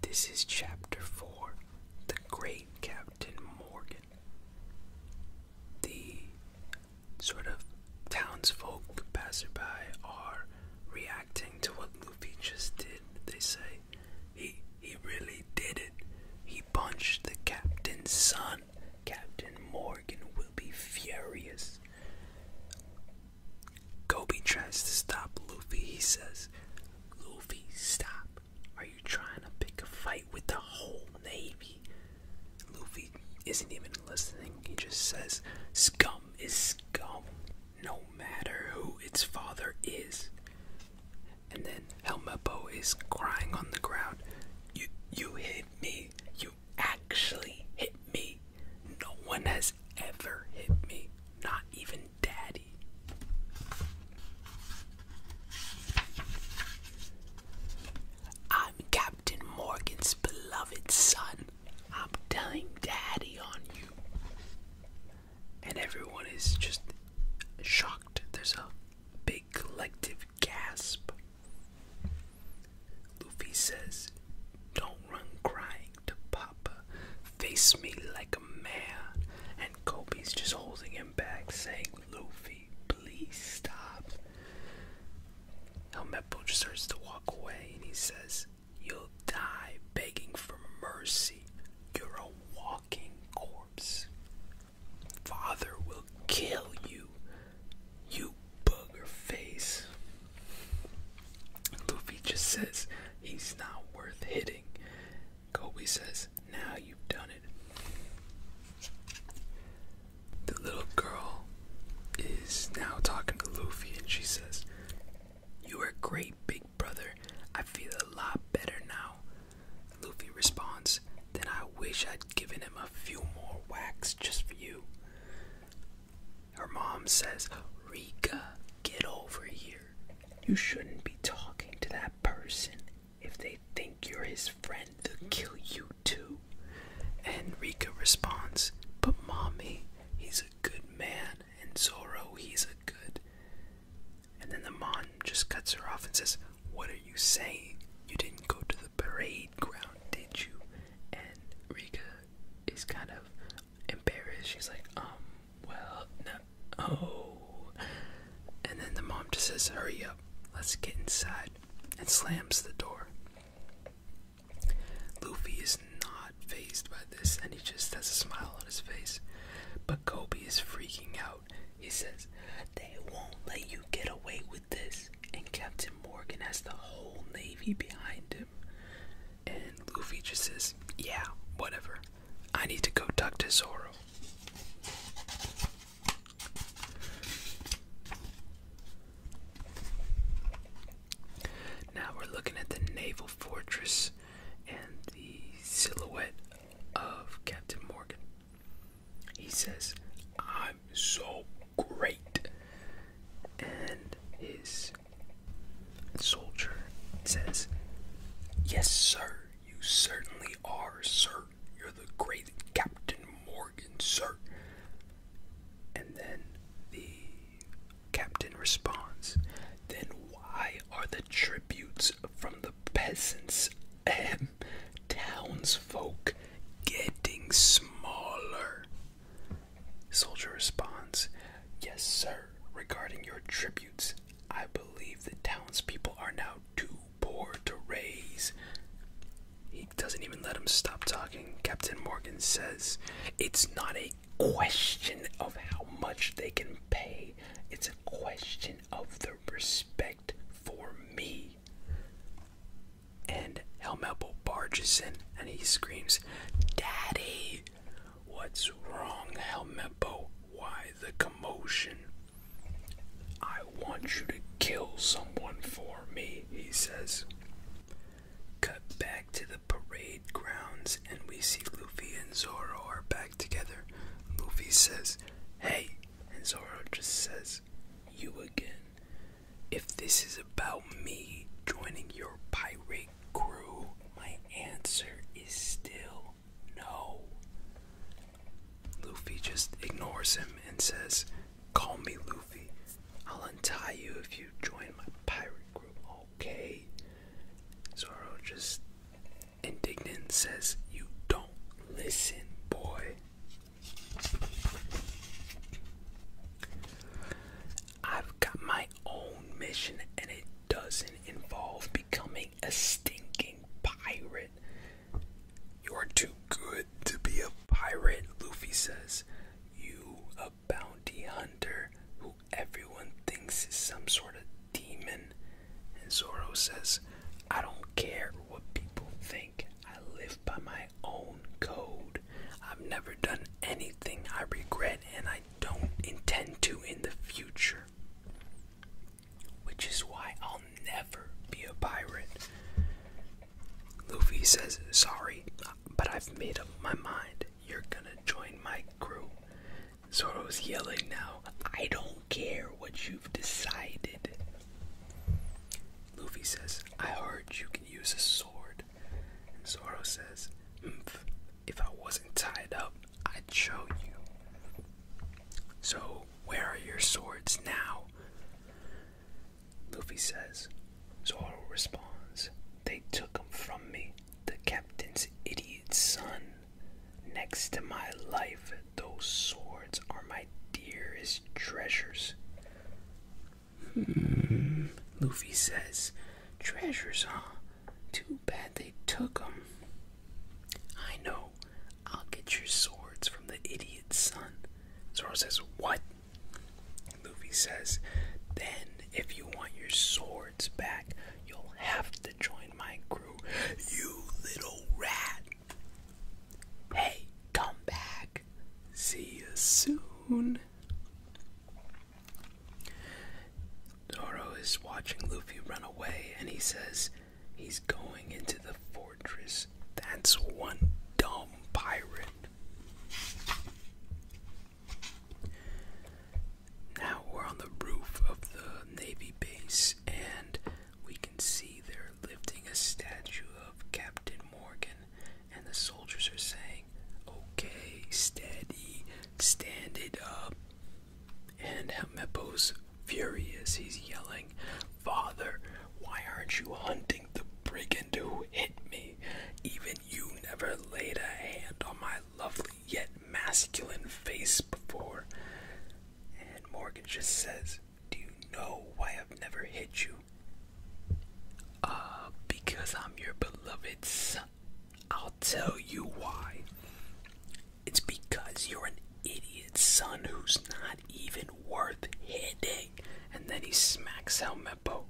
This is Chapter 4 The Great Captain Morgan. The sort of townsfolk passerby are reacting to what Luffy just did. They say, he, he really did it. He punched the captain's son. Captain Morgan will be furious. Kobe tries to stop Luffy. He says, Luffy, stop. Are you trying to pick a fight with the whole Navy? Luffy isn't even listening. He just says, Scum is scum, no matter who its father is. And then Helmeppo is crying on the ground. You, you hit me. You actually hit me. No one has ever hit me. Not even daddy. I'm Captain Morgan's beloved son. I'm telling daddy on you. And everyone is just shocked. There's a big collective gasp. Luffy says, don't run crying to Papa. Face me like a man. And Kobe's just holding him back, saying, Luffy, please stop. Helmeppo just starts to walk away and he says, You'll die begging for mercy. You're a walking corpse. Father will kill you, you bugger face. Luffy just says he's not worth hitting. Kobe says, Now you've done it. The little girl is now talking to Luffy and she says, You are great, big brother. I feel a lot better now. Luffy responds, Then I wish I'd given him a few more whacks just for you. Her mom says, Rika, get over here. You shouldn't be talking to that person. If they think you're his friend, they'll kill you too. And Rika responds, But mommy, he's a good man, and Zoro, he's a good. And then the mom just cuts her off and says, What are you saying? You didn't go to the parade ground, did you? And Rika is kind of embarrassed. She's like, um, well, no. Oh. And then the mom just says, hurry up, let's get inside, and slams the door. Luffy is not phased by this, and he just has a smile on his face. But Kobe is freaking out. He says, They won't let you get away with this. And Captain Morgan has the whole Navy behind him. And Luffy just says, yeah, whatever. I need to go talk to Zoro. Now we're looking at the naval fortress and the silhouette of Captain Morgan. He says, I'm so great. And his Soldier says, Yes, sir, you certainly are, sir. You're the great Captain Morgan, sir. And then the captain responds, Then why are the tributes from the peasants and townsfolk getting smaller? Soldier responds, Yes, sir, regarding your tributes, I believe the townspeople are now too poor to raise. He doesn't even let him stop talking. Captain Morgan says, It's not a question of how much they can pay, it's a question of the respect for me. And Helmepple barges in and he screams, Daddy, what's wrong, Helmeppo? Why the commotion? I want you to kill someone for me, he says. Cut back to the parade grounds, and we see Luffy and Zoro are back together. Luffy says, Hey, and Zoro just says, You again. If this is about me joining your pirate Crew, my answer is still no. Luffy just ignores him and says, Call me Luffy. I'll untie you if you join my pirate group, okay? Zoro just indignant says, You don't listen, boy. I've got my own mission and it doesn't involve becoming a stinking pirate. You're too good to be a pirate, Luffy says. You, a bounty hunter who everyone thinks is some sort of demon. And Zoro says, I don't care what people think. I live by my own code. I've never done anything I regret, and I don't intend to in the future. Which is why I'll never be a pirate. Luffy says, Sorry, but I've made up my mind. You're gonna join my crew. Zoro's yelling now, I don't care what you've decided. Luffy says, I heard you can use a sword. And Zoro says, Mph, if I wasn't tied up, I'd show you. So, where are your swords now? Luffy says. Zoro responds, They took them from me, the captain's idiot son. Next to my life, those swords are my dearest treasures. Hmm, Luffy says, Treasures, huh? Too bad they took them. I know. I'll get your swords from the idiot's son. Zoro says, What? Luffy says, Then, if you want your swords back, you'll have to join my crew. You little rat! Hey, come back. See you soon. Zoro is watching Luffy run away and he says he's going into the fortress. That's one dumb pirate. Now we're on the roof of the Navy base and we can see they're lifting a statue of Captain Morgan and the soldiers are saying, Okay, steady, stand it up, and Mepo's furious. He's yelling, Father, why aren't you hunting the brigand who hit me? Even you never laid a hand on my lovely yet masculine face before. And Morgan just says, Do you know why I've never hit you? Uh, because I'm your beloved son. I'll tell you why. It's because you're an idiot son who's not even worth hitting. And then he smacks El Mepo.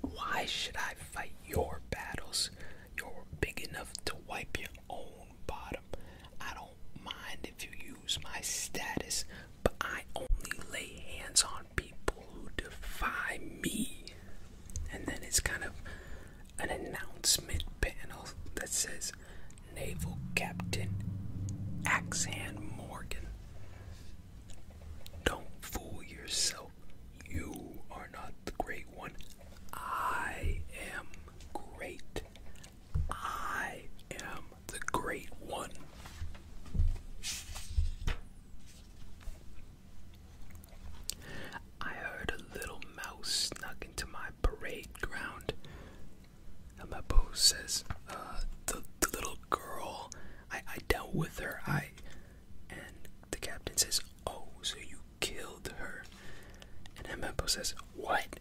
Why should I fight your battles? You're big enough to wipe your own bottom. I don't mind if you use my status, but I only lay hands on people who defy me and then it's kind of an announcement panel that says Naval Captain Axan Morgan. Don't fool yourself. You are not the great one. I am great. I am the great one. I heard a little mouse snuck into my parade ground. And my beau says, uh, the, little girl, I, dealt with her. I. And the captain says, oh, so you killed her. And Emempo says, what?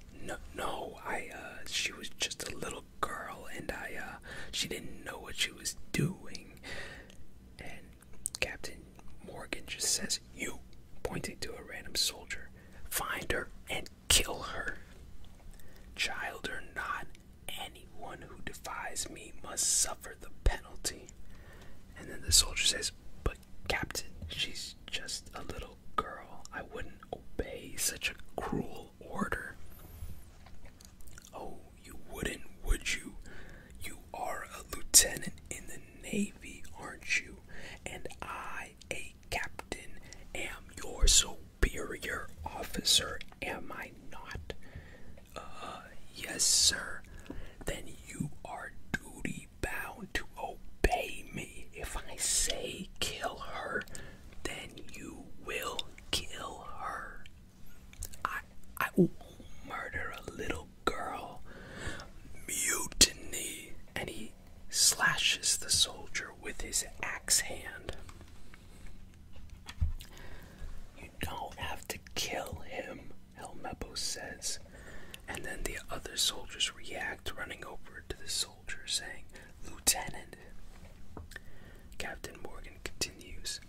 No, I, uh, she was just a little girl and I, uh, she didn't know what she was doing. Captain Morgan just says, You, pointing to a random soldier, find her and kill her. Child or not, anyone who defies me must suffer the penalty. And then the soldier says, But Captain, she's just a little girl. I wouldn't obey such a cruel order. Oh, you wouldn't, would you? You are a lieutenant in the Navy, aren't you? And I, a captain, am your superior officer, am I not? Uh, yes, sir. Then you are duty bound to obey me. If I say kill her, then you will kill her. I I will murder a little girl. Mutiny, and he slashes the soldier with his axe hand. You don't have to kill him, Helmeppo says. And then the other soldiers react, running over to the soldier, saying, Lieutenant. Captain Morgan continues,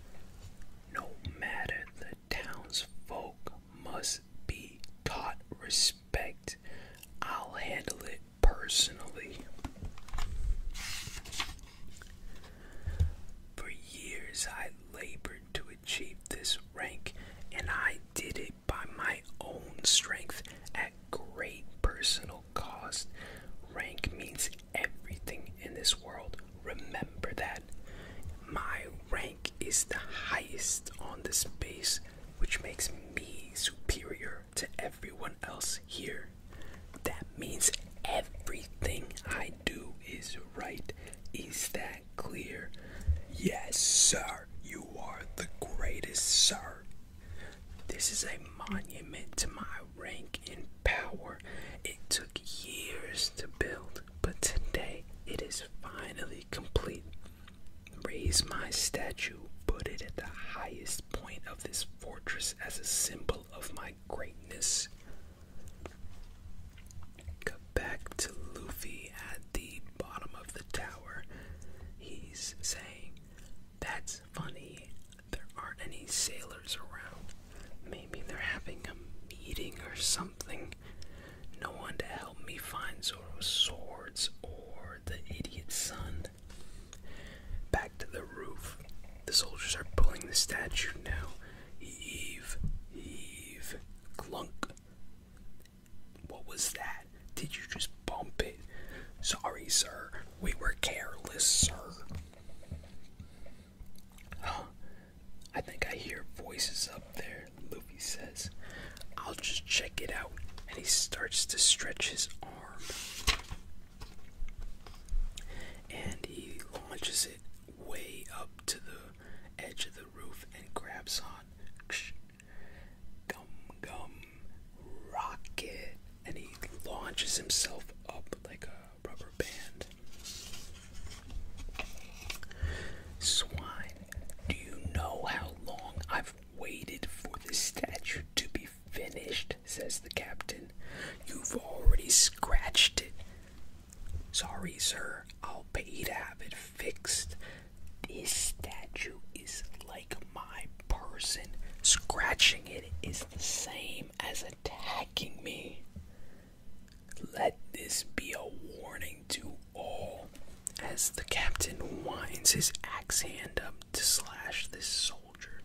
No matter the the townsfolk must be taught respect. I'll handle it personally. For years I labored to achieve this rank, and I did it by my own strength at great personal cost. Rank means everything in this world. Remember that. My rank is the highest on this base, which makes me superior to everyone else here. That means everything I do is right. Is that clear? Yes, sir. You are the greatest, sir. This is a monument to my rank and power. It took years to build but today it is finally complete. Raise my statue, put it at the highest point of this fortress as a symbol of my greatness. Come back to Luffy at the bottom of the tower. He's saying, That's funny, there aren't any sailors around. Maybe they're having a meeting or something. No one to help me find Zoro's swords or the idiot son. Back to the roof. The soldiers are pulling the statue now. Heave, heave, clunk. What was that? Did you just bump it? Sorry, sir. We were careless, sir. I think I hear voices up there, Luffy says. I'll just check it out. And he starts to stretch his arm. And he launches it way up to the edge of the roof and grabs on. Gum gum rocket. And he launches himself up like a Swine, do you know how long I've waited for this statue to be finished? says the captain. You've already scratched it. Sorry, sir, I'll pay to have it fixed. This statue is like my person. Scratching it is the same as attacking me. Let this be a warning to all. As the captain winds his axe hand up to slash this soldier,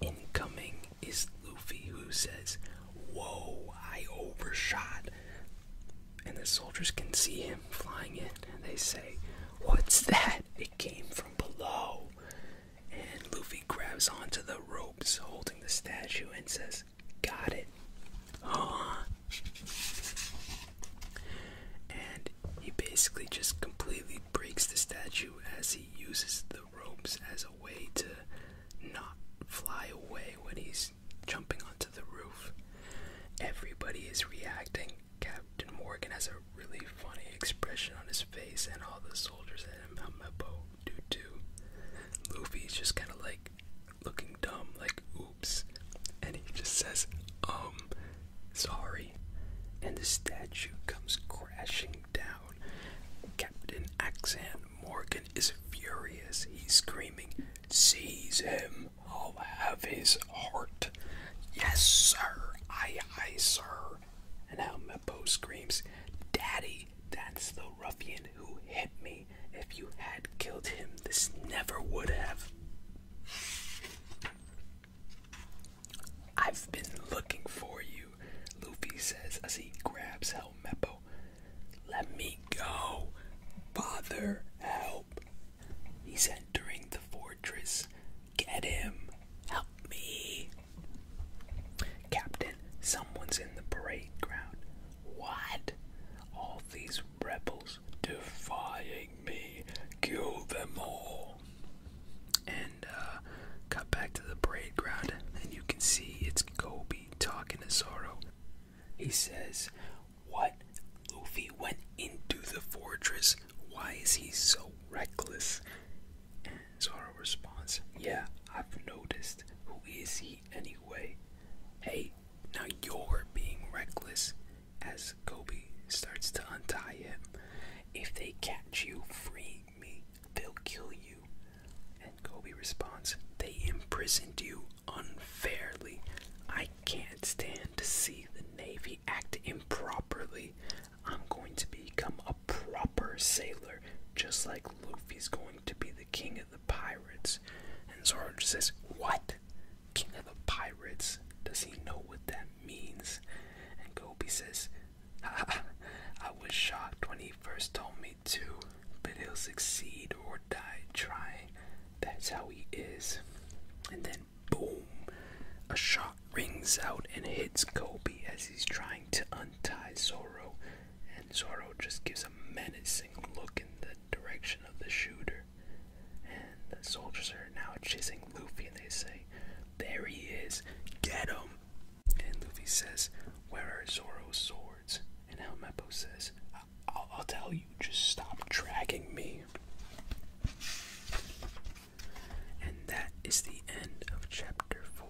incoming is Luffy, who says, Whoa, I overshot. And the soldiers can see him flying in, and they say, What's that? It came from below. And Luffy grabs onto the ropes holding the statue and says, Got it. Huh? And he basically just completely breaks the statue as he uses the ropes as a way to not fly away when he's jumping onto the roof. Everybody is reacting. Captain Morgan has a really funny expression on his face, and all the soldiers at him on my boat due to Luffy's just kind of like looking dumb, like oops, and he just says, um, sorry, and the statue comes crashing down. Captain Axan Morgan is furious. He's screaming, Seize him! I'll have his heart. Yes, sir. Aye, aye, sir. And now Mepo screams, Daddy, that's the ruffian who hit me. If you had killed him, this never would have. I've been looking for you, Luffy says as he grabs Helmeppo. Let me go, father, help. He's entering the fortress. Get him, help me. Captain, someone's in the parade ground. What? All these rebels defying me. Kill them all. And uh, cut back to the parade ground, and you can see it's Kobe talking to Zoro. He says, What? Luffy went into the fortress. Why is he so reckless? is her response. Yeah, I've noticed. Who is he anyway? Hey, now you're being reckless. As Kobe starts to untie him, if they catch you, free me. They'll kill you. And Kobe responds, They imprisoned you unfairly. I can't stand to see the Navy act improperly. I'm going to become a proper sailor, just like Luffy's going to be the king of the pirates. And Zoro says, What? King of the pirates? Does he know what that means? And Gobi says, ah, I was shocked when he first told me too. but he'll succeed or die trying. That's how he is. And then, boom, a shot rings out and hits Gobi as he's trying to untie Zoro and Zoro just gives a menacing look in the direction of the shooter. And the soldiers are now chasing Luffy and they say, There he is, get him! And Luffy says, Where are Zoro's swords? And El Meppo says, I'll tell you, just stop dragging me. And that is the end of chapter 4.